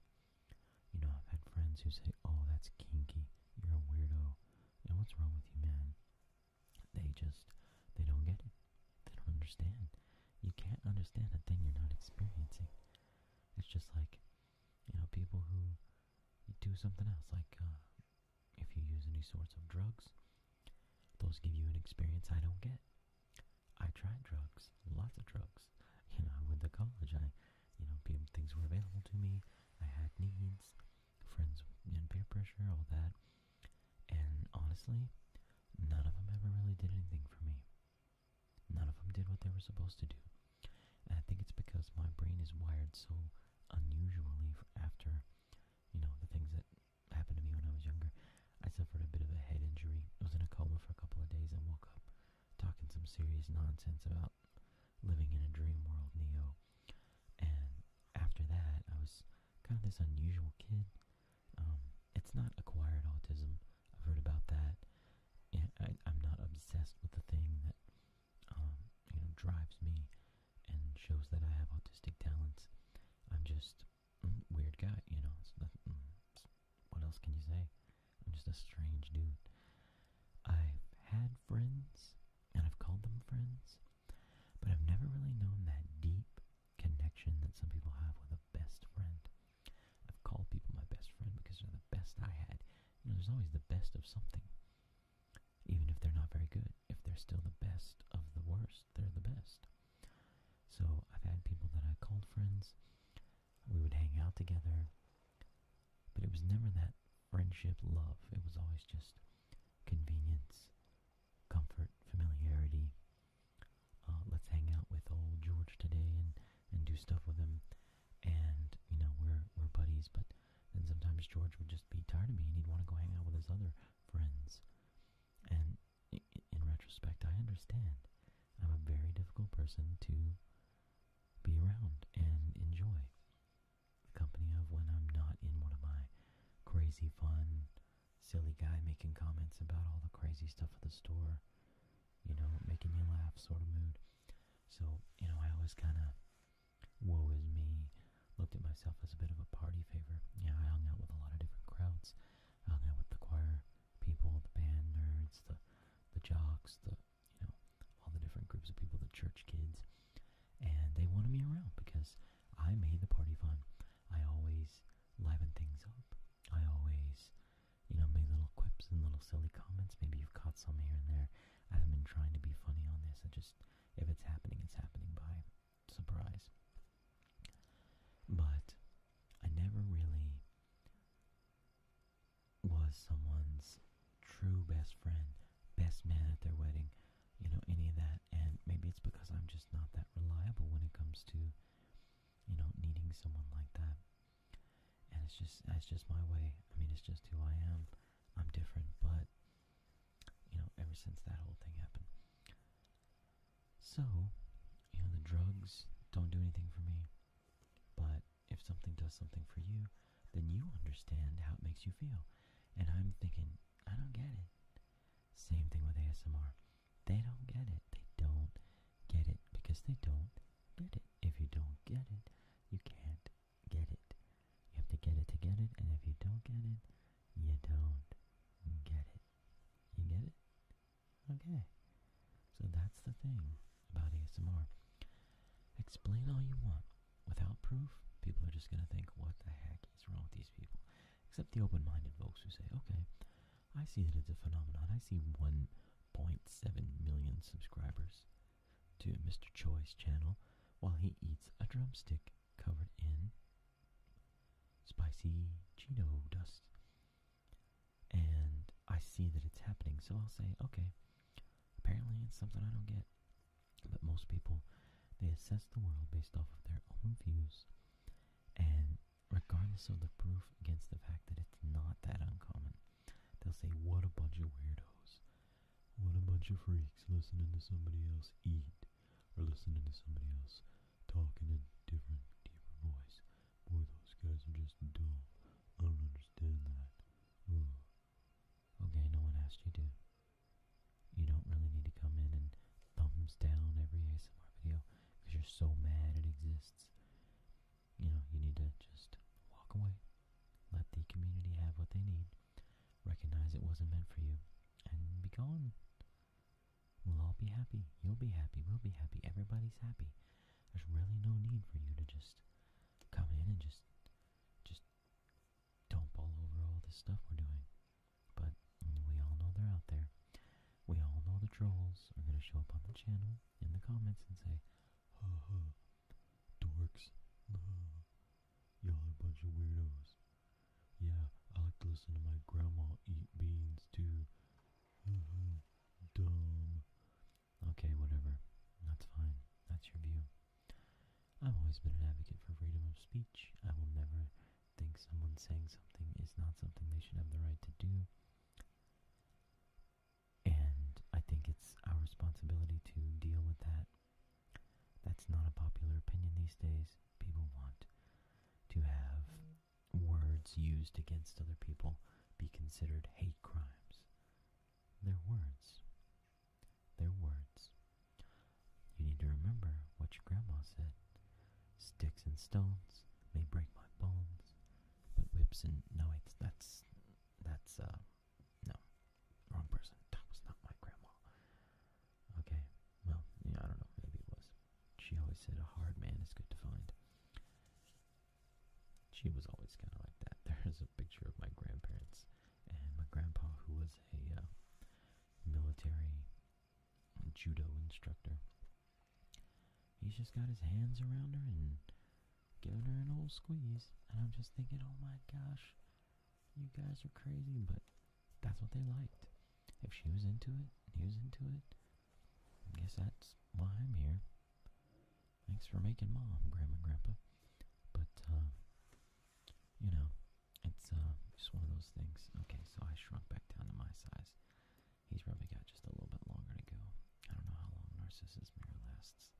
You know, I've had friends who say, oh, that's kinky, you're a weirdo, you know, what's wrong with you, man? They just, they don't get it. They don't understand. You can't understand a thing you're not experiencing. It's just like, you know, people who do something else, like uh, if you use any sorts of drugs, those give you an experience I don't get. I tried drugs, lots of drugs. You know, I went to college, I you know, people, things were available to me. I had needs, friends and peer pressure, all that. And honestly, none of them ever really did anything for me. None of them did what they were supposed to do. And I think it's because my brain is wired so unusually after, you know, the things that happened to me when I was younger. I suffered a bit of a head injury. I was in a coma for a couple of days and woke up talking some serious nonsense about living in a dream world, Neo. And after that, I was kind of this unusual kid. Um, it's not acquired autism. I've heard about that. I, I'm not obsessed with the thing that um, you know drives me and shows that I have autistic talents. I'm just mm, weird guy, you know. It's, nothing, mm, it's what else can you say? I'm just a strange dude. I've had friends, and I've called them friends, but I've never really known that deep connection that some people have with a best friend. I've called people my best friend because they're the best I had. You know, there's always the best of something. Even if they're not very good, if they're still the best of the worst, they're the best. So I've had people that I called friends. We would hang out together. But it was never that friendship love. It was always just convenience, comfort, familiarity. Uh, let's hang out with old George today and, and do stuff with him. And, you know, we're, we're buddies, but then sometimes George would just be tired of me and he'd want to go hang out with his other friends. And in retrospect, I understand. I'm a very difficult person to be around and enjoy the company of when I'm not in one of my crazy fun, silly guy making comments about all the crazy stuff at the store, you know, making you laugh sort of mood. So, you know, I always kind of, woe is me, looked at myself as a bit of a party favor. Yeah, I hung out with a lot of different crowds. I hung out with the choir people, the band nerds, the, the jocks, the you know, all the different groups of people, the church kids, and they wanted me around because I made the party fun. I always liven things up. I always, you know, make little quips and little silly comments. Maybe you've caught some here and there. I haven't been trying to be funny on this. I just, if it's happening, it's happening by surprise. But I never really was someone's true best friend, best man at their wedding, you know, any of that. And maybe it's because I'm just not that reliable when it comes to, you know, needing someone like that. And it's just, that's just my way. I mean, it's just who I am. I'm different, but, you know, ever since that whole thing happened. So, you know, the drugs don't do anything for me, but if something does something for you, then you understand how it makes you feel. And I'm thinking, I don't get it. Same thing with ASMR. They don't get it. They don't get it because they don't get it. If you don't get it, you can't get it. You have to get it to get it, and if you don't get it, you don't get it. You get it? Okay. So that's the thing about ASMR. Explain all you want. Without proof, people are just going to think, what the heck is wrong with these people? Except the open minded folks who say, okay, I see that it's a phenomenon. I see 1.7 million subscribers to Mr. Choi's channel while he eats a drumstick covered in spicy Cheeto dust and I see that it's happening. So I'll say, okay, apparently it's something I don't get. But most people, they assess the world based off of their own views, and regardless of the proof against the fact that it's not that uncommon, they'll say, what a bunch of weirdos. What a bunch of freaks listening to somebody else eat, or listening to somebody else talk in a different, deeper voice. Boy, those guys are just dumb. I don't understand that. Ooh. Hmm. Okay, no one asked you to. You don't really need to come in and thumbs down every ASMR video because you're so mad it exists. You know, you need to just walk away. Let the community have what they need. Recognize it wasn't meant for you. And be gone. We'll all be happy. You'll be happy. We'll be happy. Everybody's happy. There's really no need for you to just come in and just just dump all over all this stuff we're doing. But we all know they're out there. We all know the trolls are gonna show up on the channel in the comments and say, "Ha ha, dorks, you are a bunch of weirdos." Yeah, I like to listen to my grandma eat beans too. dumb. Okay, whatever. That's fine. That's your view. I've always been an advocate for freedom of speech. I will never think someone saying something is not something they should have the right to do. And I think it's our responsibility to deal with that. That's not a popular opinion these days. People want to have words used against other people be considered hate crimes. Their words. Their words. You need to remember what your grandma said. Sticks and stones may break my bones, but whips and knives that's that's uh no wrong person. That was not my grandma. Okay, well yeah, I don't know. Maybe it was. She always said a hard man is good to find. She was always kind of like that. There's a picture of my grandparents and my grandpa, who was a uh, military judo instructor. He's just got his hands around her and giving her an old squeeze. And I'm just thinking, oh my gosh, you guys are crazy, but that's what they liked. If she was into it, he was into it. I guess that's why I'm here. Thanks for making mom, grandma, grandpa. But, uh, you know, it's uh, just one of those things. Okay, so I shrunk back down to my size. He's probably got just a little bit longer to go. I don't know how long Narcissus mirror lasts.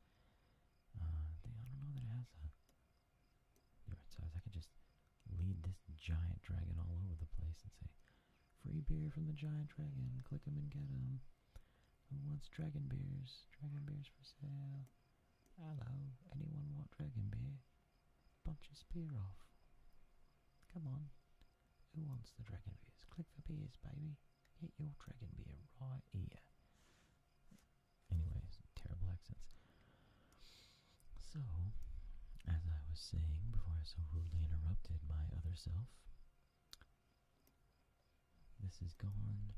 Uh, they, I don't know that it has a different size. I could just lead this giant dragon all over the place and say, Free beer from the giant dragon, click him and get him. Who wants dragon beers? Dragon beers for sale. Hello, anyone want dragon beer? Bunch of spear off. Come on. Who wants the dragon beers? Click the beers, baby. Get your dragon beer right here. Anyways, terrible accents. So, as I was saying before I so rudely interrupted my other self, this is gone,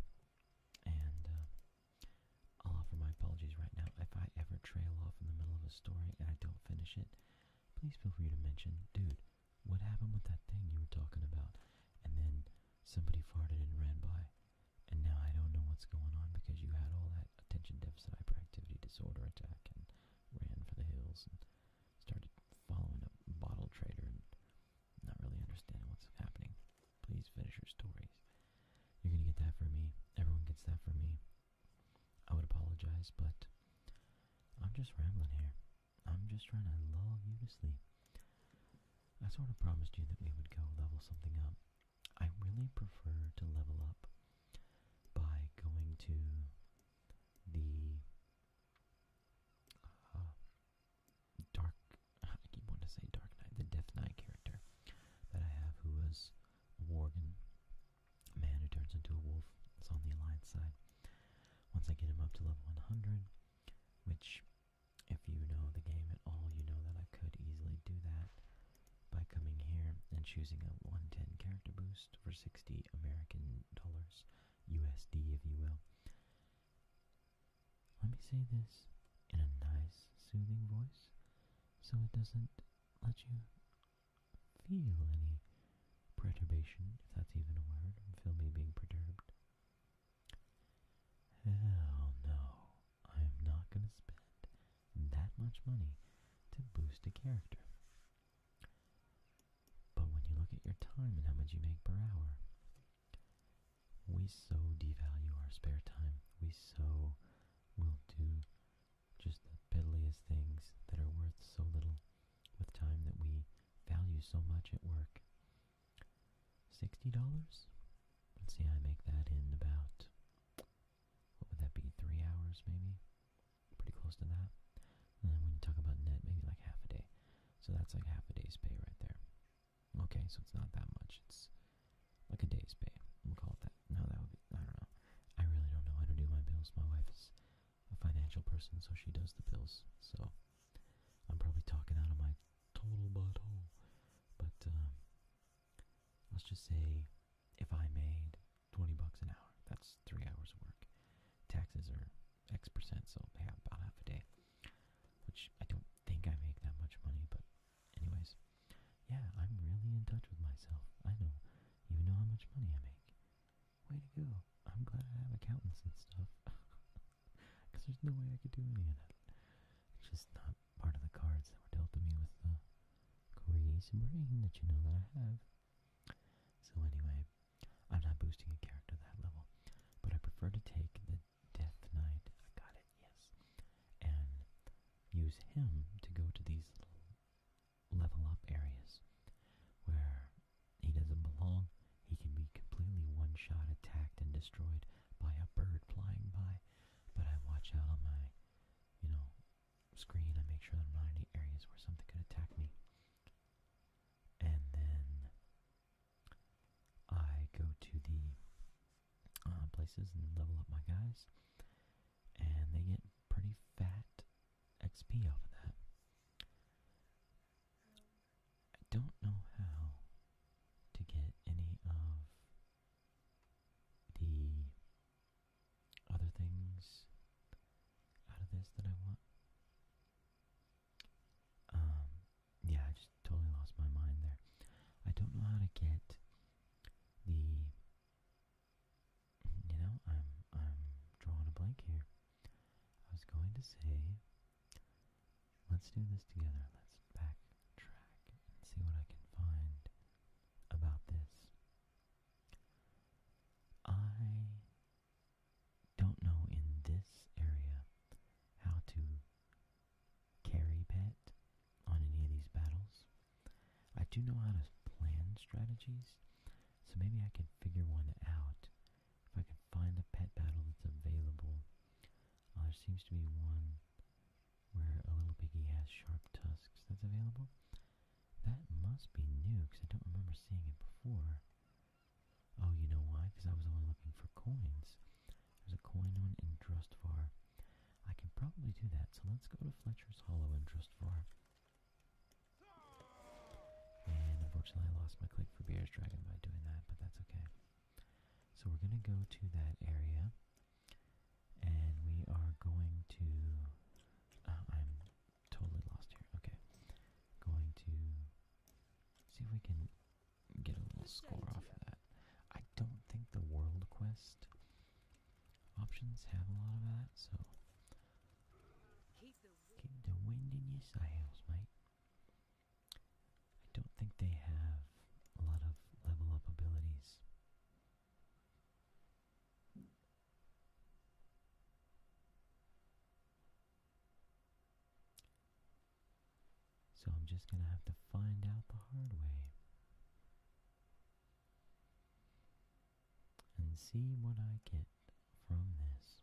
and uh, I'll offer my apologies right now. If I ever trail off in the middle of a story and I don't finish it, please feel free to mention, dude, what happened with that thing you were talking about? And then somebody farted and ran by, and now I don't know what's going on because you had all that attention deficit hyperactivity disorder attack and ran for the hills and started following a bottle trader and not really understanding what's happening. Please finish your stories. You're gonna get that for me. Everyone gets that for me. I would apologize, but I'm just rambling here. I'm just trying to lull you to sleep. I sort of promised you that we would go level something up. I really prefer to level up by going to the uh, Dark, I keep wanting to say Dark Knight, the Death Knight character that I have, who was a Worgen man who turns into a wolf. Is on the Alliance side. Once I get him up to level 100, which, if you know the game at all, you know that I could easily do that by coming here and choosing a 110 character boost for 60 American dollars, USD if you will. Let me say this in a nice, soothing voice so it doesn't let you feel any perturbation, if that's even a word. Feel me being perturbed. Hell no, I am not going to spend that much money to boost a character. But when you look at your time and how much you make per hour, we so devalue our spare time. We so will do just the piddliest things that are worth so little with time that we value so much at work. $60? Let's see, I make that in about, what would that be, three hours maybe? Pretty close to that. when you talk about net, maybe like half a day. So that's like half a day's pay right there. Okay, so it's not that much. It's like a day's pay. We'll call it that. No, that would be, I don't know. I really don't know how to do my bills. My wife is a financial person, so she does the bills. So I'm probably talking out of my total butthole. But um, let's just say if I made 20 bucks an hour, that's three hours of work taxes are X percent, so yeah, about half a day. Which I don't think I make that much money, but anyways, yeah, I'm really in touch with myself. I know, even know how much money I make. Way to go! I'm glad I have accountants and stuff, because there's no way I could do any of that. It's just not part of the cards that were dealt to me with the crazy brain that you know that I have. So anyway, I'm not boosting a character that level, but I prefer to take the Death Knight, I got it, yes, and use him to go to these level up areas where he doesn't belong. He can be completely one-shot attacked and destroyed by a bird flying by, but I watch out on my, you know, screen. I make sure I'm not any areas where something could attack me. And then I go to the uh, places and level up my guys, and they get pretty fat XP off of that. I don't know how to get any of the other things out of this that I want. Um, yeah, I just totally lost my mind there. I don't know how to get the. You know, I'm I'm drawing a blank here. I was going to say, let's do this together. Let's backtrack and see what I can find about this. I don't know in this area how to carry pet on any of these battles. I do know how to plan strategies, so maybe I can figure one out. If I can find a pet battle that's available, uh, there seems to be one where a little piggy has sharp tusks that's available. That must be new, because I don't remember seeing it before. Oh, you know why? Because I was only looking for coins. There's a coin on in Drustvar. I can probably do that, so let's go to Fletcher's Hollow in Drustvar. And unfortunately I lost my click for Beer's Dragon by doing that, but that's okay. So we're going to go to that area, and we are going to... Oh, I'm totally lost here. Okay. Going to see if we can get a little score off of that. I don't think the world quest options have a lot of that, so keep the wind in your sails, mate. I don't think they have a lot of level up abilities. So I'm just going to have to find out the hard way. And see what I get from this.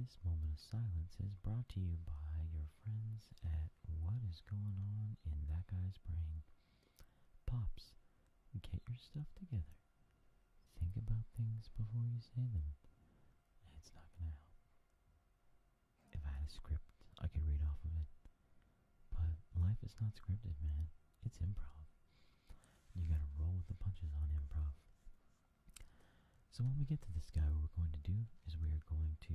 This moment of silence is brought to you by your friends at What Is Going On in That Guy's Brain. Pops, get your stuff together. Think about things before you say them. It's not going to help. If I had a script, I could read off of it. But life is not scripted, man. It's improv. You gotta roll with the punches on improv. So when we get to this guy, what we're going to do is we are going to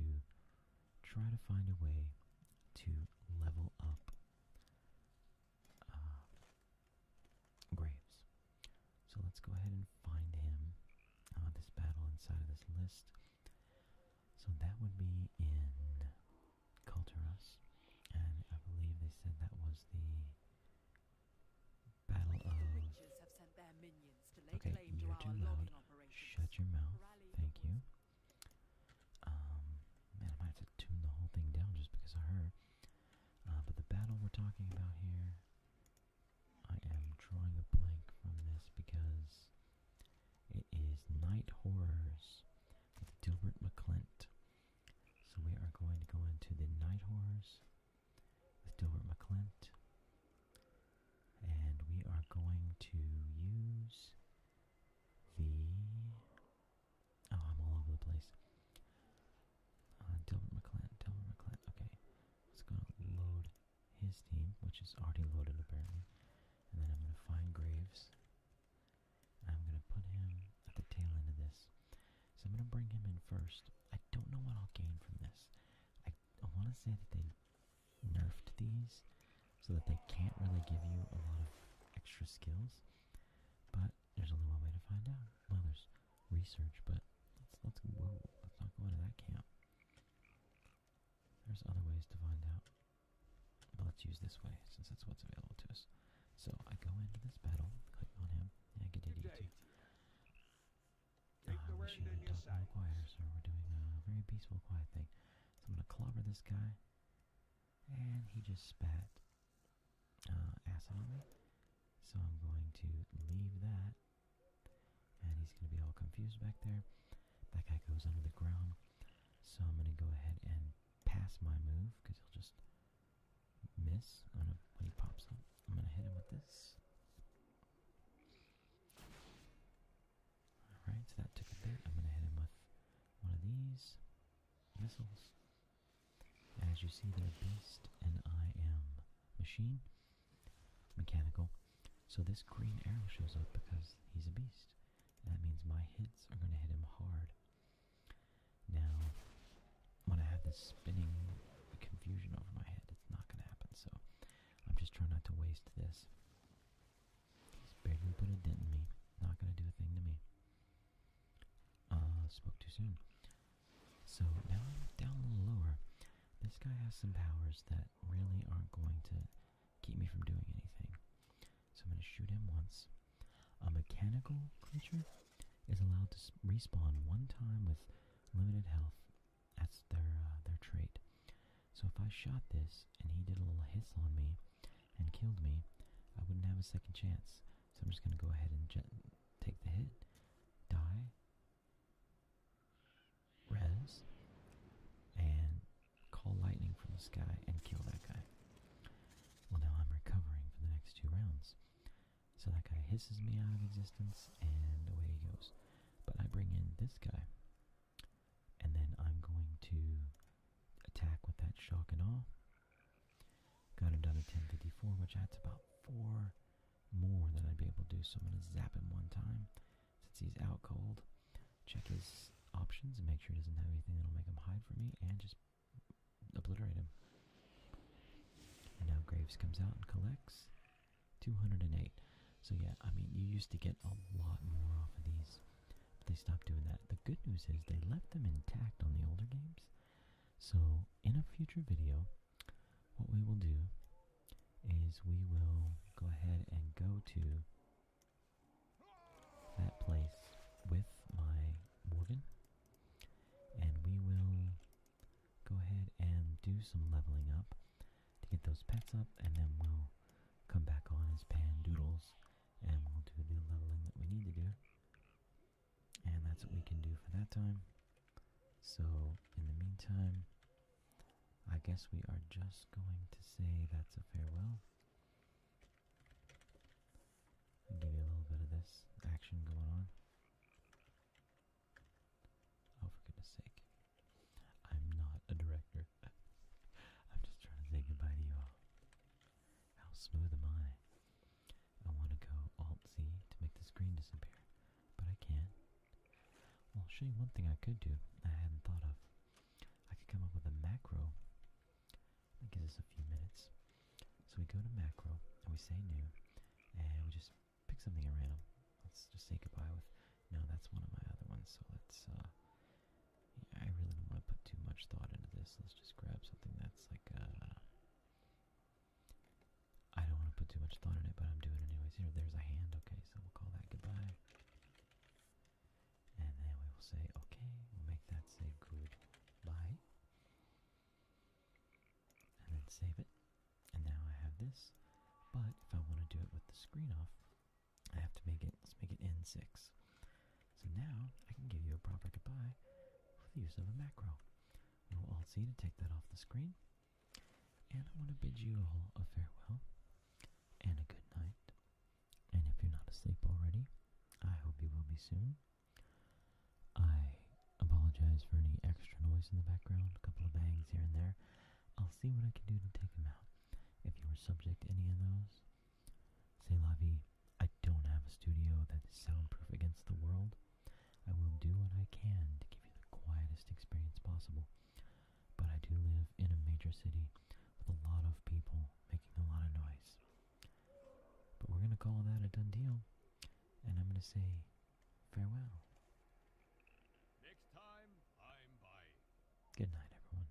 try to find a way to level up uh, Graves. So let's go ahead and find him. Uh, this battle inside of this list. So that would be in Culturus, and I believe they said that was the battle of. Okay, you're too loud. Shut your mouth. Thank you. Um, man, I might have to tune the whole thing down just because of her. Uh, but the battle we're talking about here, I am drawing a blank from this because it is Night Horrors with Dilbert McClint. So we are going to go into the Night Horrors with Dilbert McClint. And we are going to use the... Oh, I'm all over the place. Uh, McClan, Delbert McClan. Okay, let's go load his team, which is already loaded apparently. And then I'm going to find Graves. I'm going to put him at the tail end of this. So I'm going to bring him in first. I don't know what I'll gain from this. I, I want to say that they nerfed these so that they can't really give you a lot of extra skills. But there's only one way to find out. Well, there's research, but let's let's let's not go into that camp. There's other ways to find out, but let's use this way since that's what's available to us. So I go into this battle, click on him, ah, and I get idiot. Take uh, the wish you had a choir, so we're doing a very peaceful, quiet thing. So I'm gonna clobber this guy, and he just spat acid on me. So I'm going to leave that. And he's going to be all confused back there. That guy goes under the ground. So I'm going to go ahead and pass my move because he'll just miss when he pops up. I'm going to hit him with this. Alright, so that took a bit. I'm going to hit him with one of these missiles. As you see, they're Beast and I am Machine, Mechanical. So this green arrow shows up because he's a beast. And that means my hits are going to hit him hard. Now, when I have this spinning confusion over my head, it's not going to happen. So I'm just trying not to waste this. He's barely put a dent in me. Not going to do a thing to me. Uh, spoke too soon. So now I'm down a little lower. This guy has some powers that really aren't going to keep me from doing anything. So I'm going to shoot him once. A mechanical creature is allowed to respawn one time with limited health. That's their uh, their trait. So if I shot this and he did a little hiss on me and killed me, I wouldn't have a second chance. So I'm just going to go ahead and Take the hit. Die. Res. And call lightning from the sky and kill that guy. Well, now I'm recovering for the next two rounds. So that guy hisses me out of existence, and away he goes. But I bring in this guy. And then I'm going to attack with that shock and awe. Got him down to 1054, which that's about four more than I'd be able to do, so I'm going to zap him one time since he's out cold. Check his options and make sure he doesn't have anything that'll make him hide from me, and just obliterate him. And now Graves comes out and collects 208. So yeah, I mean, you used to get a lot more off of these, but they stopped doing that. The good news is they left them intact on the older games. So in a future video, what we will do is we will go ahead and go to that place with my Morgan and we will go ahead and do some leveling up to get those pets up and then we'll come back on as Pan Doodles and we'll do the leveling that we need to do and that's what we can do for that time. So, in the meantime, I guess we are just going to say that's a farewell. i give you a little bit of this action going on. Oh, for goodness sake. I'm not a director. I'm just trying to say goodbye to you all. How smooth am I? I want to go Alt-Z to make the screen disappear, but I can't. I'll show you one thing I could do I hadn't thought of. I could come up with a macro that gives us a few minutes. So we go to macro, and we say new, and we just pick something at random. Let's just say goodbye with, no, that's one of my other ones, so let's, uh, yeah, I really don't want to put too much thought into this. Let's just grab something that's like, uh, I don't want to put too much thought in it, but I'm doing it anyways. Here, there's a hand. Okay, so we'll call that goodbye. And then we will say, okay, we'll make that say goodbye. And then save it. And now I have this. But if I want to do it with the screen off, I have to make it, let's make it N6. So now I can give you a proper goodbye with the use of a macro. I will Alt Z to take that off the screen. And I want to bid you all a farewell and a good night. And if you're not asleep already, I hope you will be soon. I apologize for any extra noise in the background, a couple of bangs here and there. I'll see what I can do to take them out. If you were subject to any of those, say, Lavi, I don't have a studio that is soundproof against the world. I will do what I can to give you the quietest experience possible, but I do live in a major city with a lot of people making a lot of noise. But we're going to call that a done deal, and I'm going to say farewell. Good night, everyone.